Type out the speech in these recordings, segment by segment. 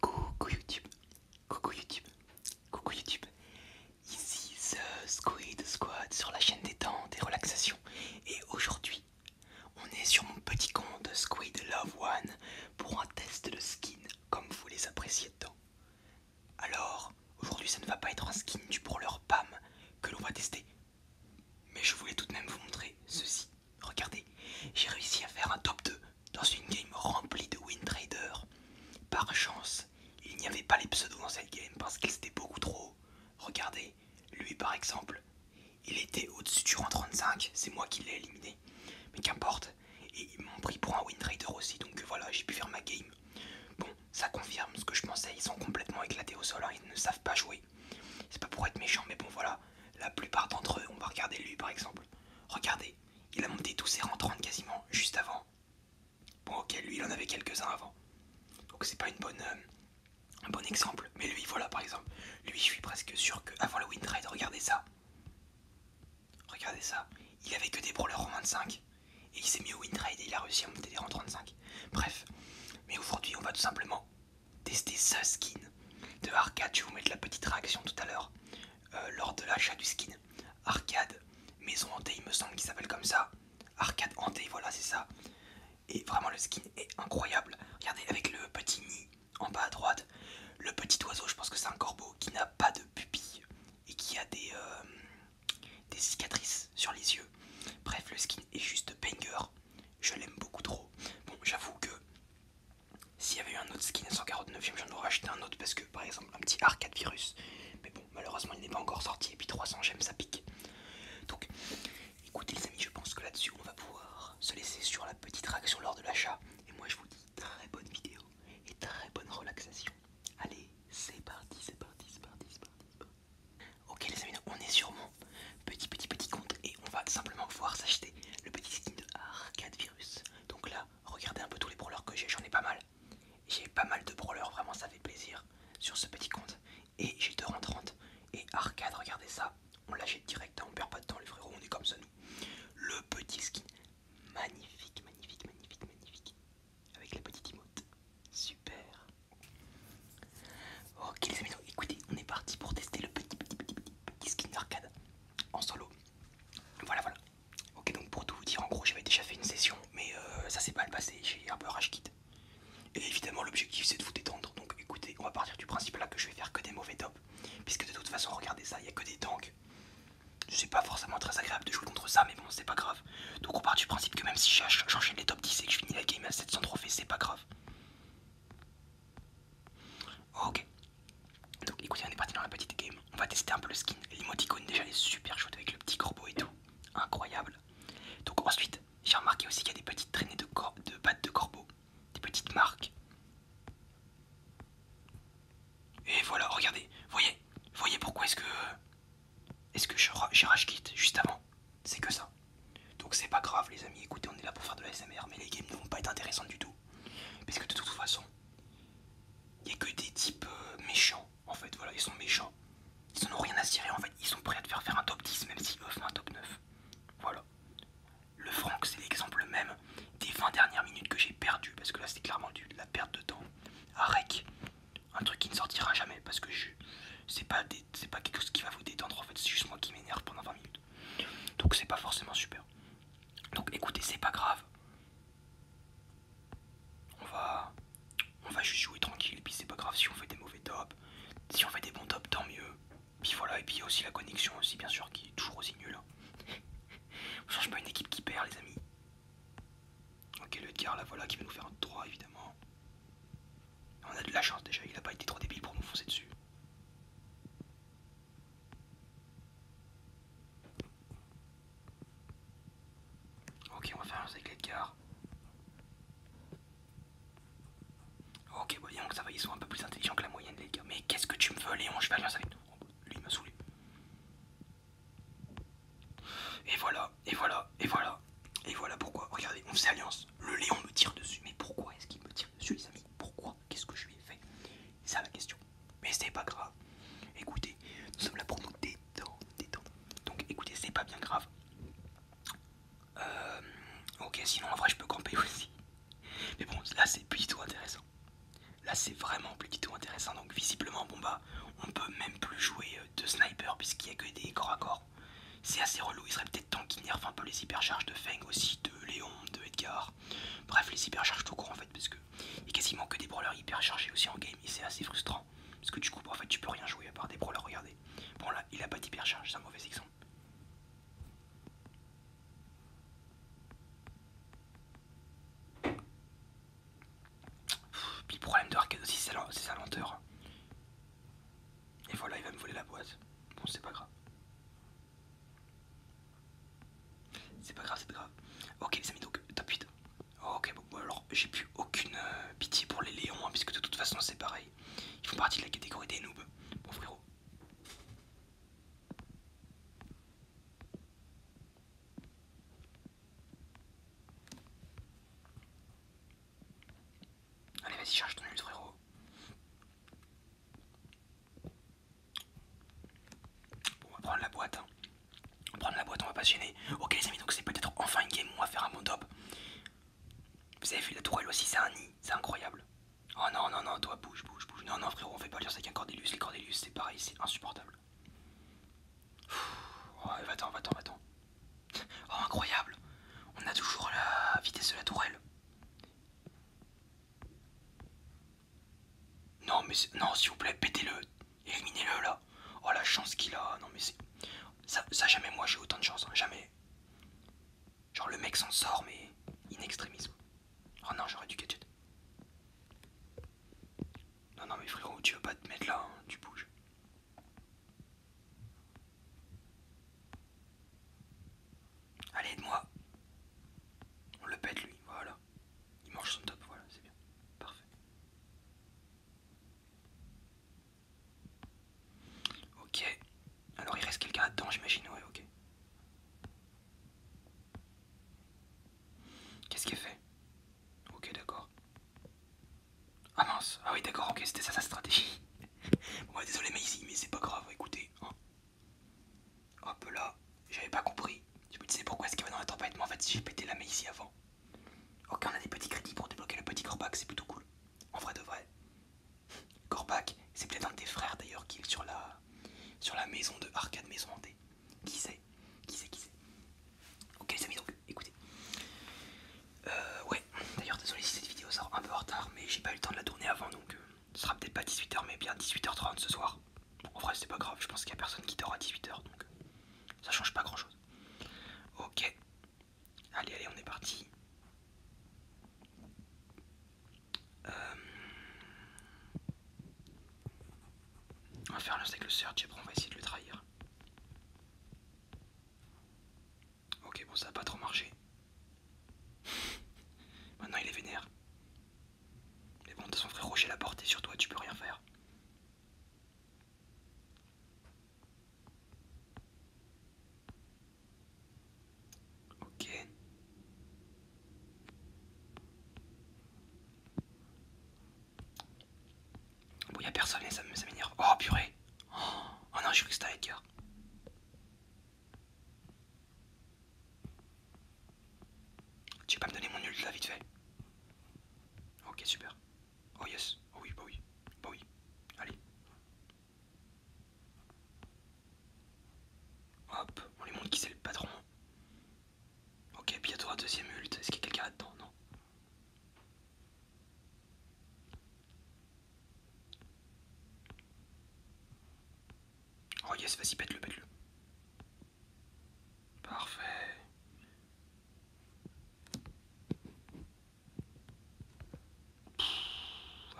Coucou YouTube, coucou YouTube, coucou YouTube. Ici The Squid Squad sur la chaîne des temps, des relaxations. Et aujourd'hui, on est sur mon petit compte Squid Love One pour un test de skin comme vous les appréciez tant Alors, aujourd'hui, ça ne va pas être un skin du pour PAM que l'on va tester. Mais je voulais tout de même vous montrer ceci. Regardez, j'ai réussi à faire un top 2 dans une game remplie de win Par chance, il n'y avait pas les pseudos dans cette game parce qu'ils étaient beaucoup trop Regardez, lui par exemple, il était au-dessus du rang 35, c'est moi qui l'ai éliminé. Mais qu'importe, et ils m'ont pris pour un win trader aussi, donc voilà, j'ai pu faire ma game. Bon, ça confirme ce que je pensais, ils sont complètement éclatés au sol, hein, ils ne savent pas jouer. C'est pas pour être méchant, mais bon voilà, la plupart d'entre eux, on va regarder lui par exemple. Regardez, il a monté tous ses 30 quasiment juste avant. Bon ok, lui il en avait quelques-uns avant. Donc c'est pas une bonne, euh, un bon exemple. Mais lui voilà par exemple. Lui je suis presque sûr que avant le win trade, regardez ça. Regardez ça. Il avait que des brawlers en 25. Et il s'est mis au windride et il a réussi à monter des rangs 35. Bref. Mais aujourd'hui on va tout simplement tester ce skin de arcade. Je vais vous mettre la petite réaction tout à l'heure euh, lors de l'achat du skin arcade maison hantée, il me semble qu'il s'appelle comme ça. Arcade hantée, voilà, c'est ça. Et vraiment, le skin est incroyable. Regardez avec le petit nid en bas à droite, le petit oiseau, je pense que c'est un corbeau qui n'a pas de pupille et qui a des, euh, des cicatrices sur les yeux. Bref, le skin est juste banger. Je l'aime beaucoup trop. Bon, j'avoue que s'il y avait eu un autre skin à 149, j'en aurais acheté un autre parce que par exemple un petit arcade virus. Mais bon, malheureusement il n'est pas encore sorti et puis 300 j'aime ça pique. Donc écoutez les amis, je pense que là-dessus on va pouvoir se laisser sur la petite réaction lors de l'achat. Et moi je vous dis très bonne vidéo et très bonne relaxation. Allez, c'est parti, c'est parti, c'est parti, c'est parti, Ok les amis, on est sur petit petit petit compte et on va simplement pouvoir s'acheter le petit skin de Arcade Virus. Donc là, regardez un peu tous les brawlers que j'ai, j'en ai pas mal. J'ai pas mal de brawlers, vraiment ça fait plaisir sur ce petit compte. Et j'ai 2 en Et Arcade, regardez ça, on l'achète direct, hein, on perd pas de temps les frérots, on est comme ça nous. Le petit skin, magnifique, magnifique, magnifique, magnifique. Avec les petites emotes, super. Ok les amis, donc écoutez, on est parti pour tester le petit, petit, petit, petit skin d'arcade en solo. Voilà, voilà. Ok, donc pour tout vous dire, en gros, j'avais déjà fait une session, mais euh, ça s'est le passé, j'ai un peu rage Et évidemment, l'objectif c'est de vous détendre, donc écoutez, on va partir du principe là que je vais faire que des mauvais tops, puisque de toute façon, regardez ça, il n'y a que des tanks. C'est pas forcément très agréable de jouer contre ça, mais bon, c'est pas grave. Donc on part du principe que même si j'enchaîne les top 10 et que je finis la game à 700 trophées, c'est pas grave. Ok. Donc écoutez, on est parti dans la petite game. On va tester un peu le skin. L'emoticône déjà est super chouette avec le petit corbeau et tout. Incroyable. Donc ensuite, j'ai remarqué aussi qu'il y a des petites traînées de, pattes de corbeau. Des petites marques. Et voilà, regardez. Voyez, voyez pourquoi est-ce que... est j'ai rage juste avant C'est que ça. Donc c'est pas grave les amis, écoutez on est là pour faire de la SMR mais les games ne vont pas être intéressantes du tout. Parce que de toute façon, il n'y a que des types euh, méchants. En fait, voilà, ils sont méchants. Ils n'en ont rien à cirer en fait. Ils sont prêts à te faire faire un top 10 même si eux font un top 9. Voilà. Le franc c'est l'exemple même des 20 dernières minutes que j'ai perdu parce que là c'est clairement dû de la perte de temps. Arec, un truc qui ne sortira jamais parce que c'est pas, pas quelque chose qui va vous détendre en fait, c'est juste moi qui m'énerve pendant 20 minutes. Donc c'est pas forcément super. Donc écoutez, c'est pas grave. On va, on va juste jouer tranquille. Et puis c'est pas grave si on fait des mauvais tops. Si on fait des bons tops, tant mieux. Puis voilà, et puis il y a aussi la connexion aussi bien sûr qui est toujours aussi nulle. Hein. on change pas une équipe qui perd les amis. Ok le gars là voilà qui va nous faire un 3 évidemment. On a de la chance déjà, il a pas été trop débile pour nous foncer dessus. Ok, on va faire alliance avec de Ok, voyons que ça va, ils sont un peu plus intelligents que la moyenne, des gars. Mais qu'est-ce que tu me veux, Léon Je vais alliance avec toi Lui, il m'a saoulé. Et voilà, et voilà, et voilà. Et voilà pourquoi. Regardez, on faisait alliance. Le Léon me tire dessus. Mais pourquoi est-ce qu'il me tire dessus, les amis Pourquoi qu'est-ce que je lui ai fait C'est ça la question. Mais c'est pas grave. Écoutez, nous sommes là pour nous détendre. Donc écoutez, c'est pas bien grave. Euh, ok, sinon en vrai je peux camper aussi. Mais bon, là c'est plutôt intéressant. Là c'est vraiment plus intéressant. Donc visiblement, bon bah, on peut même plus jouer euh, de sniper puisqu'il n'y a que des corps à corps. C'est assez relou, il serait peut-être temps qu'il nerf un peu les hypercharges de Feng aussi de Léon, de Edgar. Bref, les hypercharges tout court en fait, parce que il y a quasiment que des brawlers hyperchargés aussi en game et c'est assez frustrant. Parce que du coup, en fait, tu peux rien jouer à part des brawlers, regardez. Bon, là, il a pas d'hypercharge, c'est un mauvais exemple. Puis le problème de arcade aussi, c'est sa lenteur. Et voilà, il va me voler la boîte. Bon, c'est pas grave. C'est pas grave, c'est pas grave. Ok les amis, donc top 8. Ok, bon alors j'ai plus aucune euh, pitié pour les Léons, hein, puisque de toute façon c'est pareil. Ils font partie de la catégorie des noobs. Bon frérot. Allez vas-y cherche ton ult frérot on va prendre la boîte. On va prendre la boîte, on va pas se gêner. Ok, les amis, donc c'est peut-être enfin une game où on va faire un bon top. Vous avez fait la tourelle aussi, c'est un nid, c'est incroyable. Oh non, non, non, toi bouge, bouge, bouge. Non, non, frérot, on fait pas dire c'est un Cordelius. Les Cordelius, c'est pareil, c'est insupportable. Oh, va-t'en, va-t'en, va-t'en. Oh, incroyable. On a toujours la vitesse de la tourelle. Non, mais non, s'il vous plaît, pétez-le. Éliminez-le là. Oh la chance qu'il a. Non, mais c'est. Ça, jamais moi j'ai autant de chance. Hein, jamais. Genre le mec s'en sort, mais in extremis. Oh non, j'aurais du gadget. Non, non, mais frérot, tu veux pas te mettre là, hein, tu bouges. Allez, aide-moi. On le pète lui, voilà il mange son top, voilà, c'est bien. Parfait. Ok. Alors il reste quelqu'un là-dedans, j'imagine, ouais, ok. Qu'est-ce qu'il fait Ok, d'accord. Ah ah oui, d'accord, ok, c'était ça sa stratégie. bon, ouais, bah, désolé, mais, mais c'est pas grave, écoutez. Hein. Hop là, j'avais pas compris. Je me disais pourquoi est-ce qu'il va dans la tempête, mais en fait j'ai pété la main ici avant. Ok, on a des petits crédits pour débloquer le petit Corbac, c'est plutôt cool. En vrai de vrai. Corbac, c'est peut-être un de tes frères d'ailleurs qui est sur la, sur la maison de Arcade Maison Hantée. Qui sait Qui sait Qui sait Ok les amis donc, écoutez. Euh, ouais, d'ailleurs désolé si cette vidéo sort un peu en retard, mais j'ai pas eu le temps de la tourner avant, donc euh, ce sera peut-être pas 18h, mais bien 18h30 ce soir en vrai, c'est pas grave, je pense qu'il n'y a personne qui dort à 18h donc euh, ça change pas grand chose. Ok, allez, allez, on est parti. Euh, on va faire le avec le search et après on va essayer de le trahir. Ok, bon, ça a pas trop marché. Maintenant il est vénère. Mais bon, de toute façon, frérot, j'ai la portée sur toi, tu peux rien faire. Ok. Bon, y'a personne et ça, me m'énerve. Oh purée! Oh, non, je suis que c'était Edgar. Tu vas pas me donner mon ult là vite fait Ok super. Oh yes. Oh oui, bah oui. Bah oui. Allez. Hop, on lui montre qui c'est le patron. Ok, bientôt un deuxième ult. Est-ce qu'il y a quelqu'un là-dedans Non. Oh yes, vas-y, pète-le, pète-le. Parfait.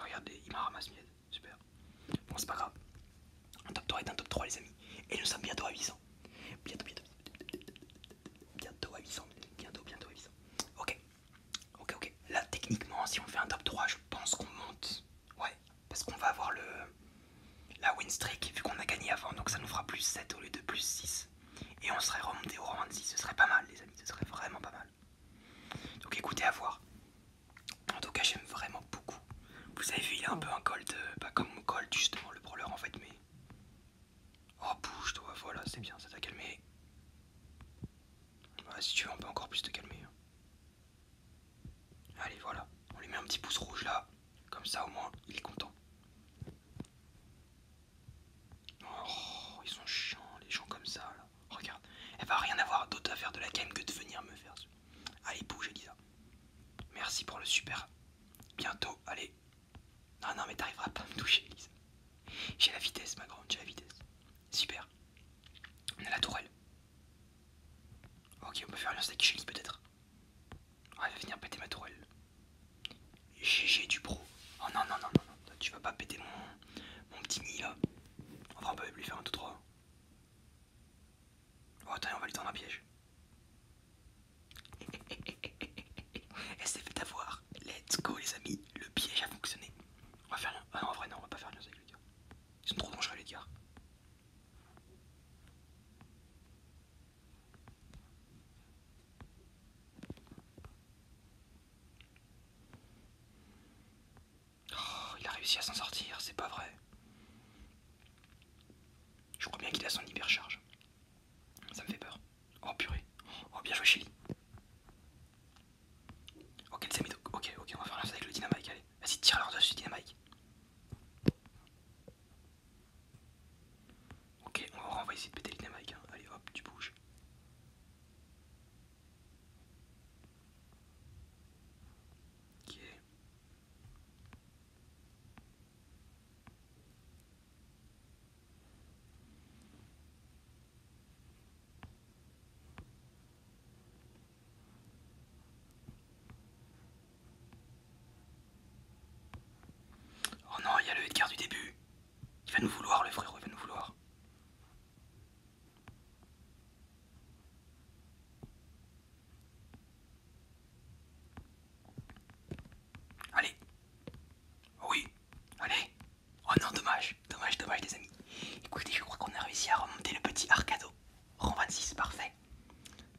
regardez, il m'a ramassé miette. Super. Bon, c'est pas grave. Un top 3 est un top 3, les amis. Et nous sommes bientôt à 800. Bientôt, bientôt. Bientôt à 800. Bientôt, bientôt à 800. Ok. Ok, ok. Là, techniquement, si on fait un top 3, je pense qu'on monte. Ouais, parce qu'on va avoir le la win streak vu qu'on a gagné avant, donc ça nous fera plus 7 au lieu de plus 6. Et on serait remonté au rang 26, ce serait pas mal les amis, ce serait vraiment pas mal. Donc écoutez à voir. En tout cas j'aime vraiment beaucoup. Vous avez vu il a un peu un cold, euh, pas comme un cold justement le brawler en fait mais... Oh bouge toi, voilà c'est bien, ça t'a calmé. si tu veux on peut encore plus te calmer. Hein. Allez, voilà. On lui met un petit pouce rouge là. Comme ça, au moins, il est content. Oh, ils sont chiants, les gens comme ça. Là. Regarde. Elle va rien avoir d'autre à faire de la game que de venir me faire. Allez, bouge, Elisa. Merci pour le super. Bientôt, allez. Non, non, mais t'arriveras pas à me toucher, Elisa. J'ai la vitesse, ma grande, j'ai la vitesse. Super. On a la tourelle. Ok, on peut faire alliance avec Shelly peut-être. Ah, elle va venir péter ma tourelle. GG du pro. Oh non, non, non, non, tu vas pas péter mon, mon petit nid là. Enfin, on peut lui faire un 2-3. Oh, attends, on va lui tendre un piège. Elle s'est fait avoir. Let's go, les amis. Le piège a fonctionné. On va faire l'un... Ah non, en vrai, non, on va pas faire avec les gars. Ils sont trop dangereux, les gars. Oh, il a réussi à s'en sortir, c'est pas vrai. Je crois bien qu'il a son hypercharge. Ça me fait peur. Oh purée. Oh bien joué Chili. Ok, ok, ok, on va faire la avec le et Vas-y, tire-leur dessus, Dynamite. Ok, on va essayer de péter le hein. Allez, hop, tu bouges. Ok. Oh non, il y a le Edgar du début. Il va nous vouloir, le frérot, il va nous vouloir. Allez. Oh oui. Allez. Oh non, dommage. Dommage, dommage, les amis. Écoutez, je crois qu'on a réussi à remonter le petit arcado. Rang 26, parfait.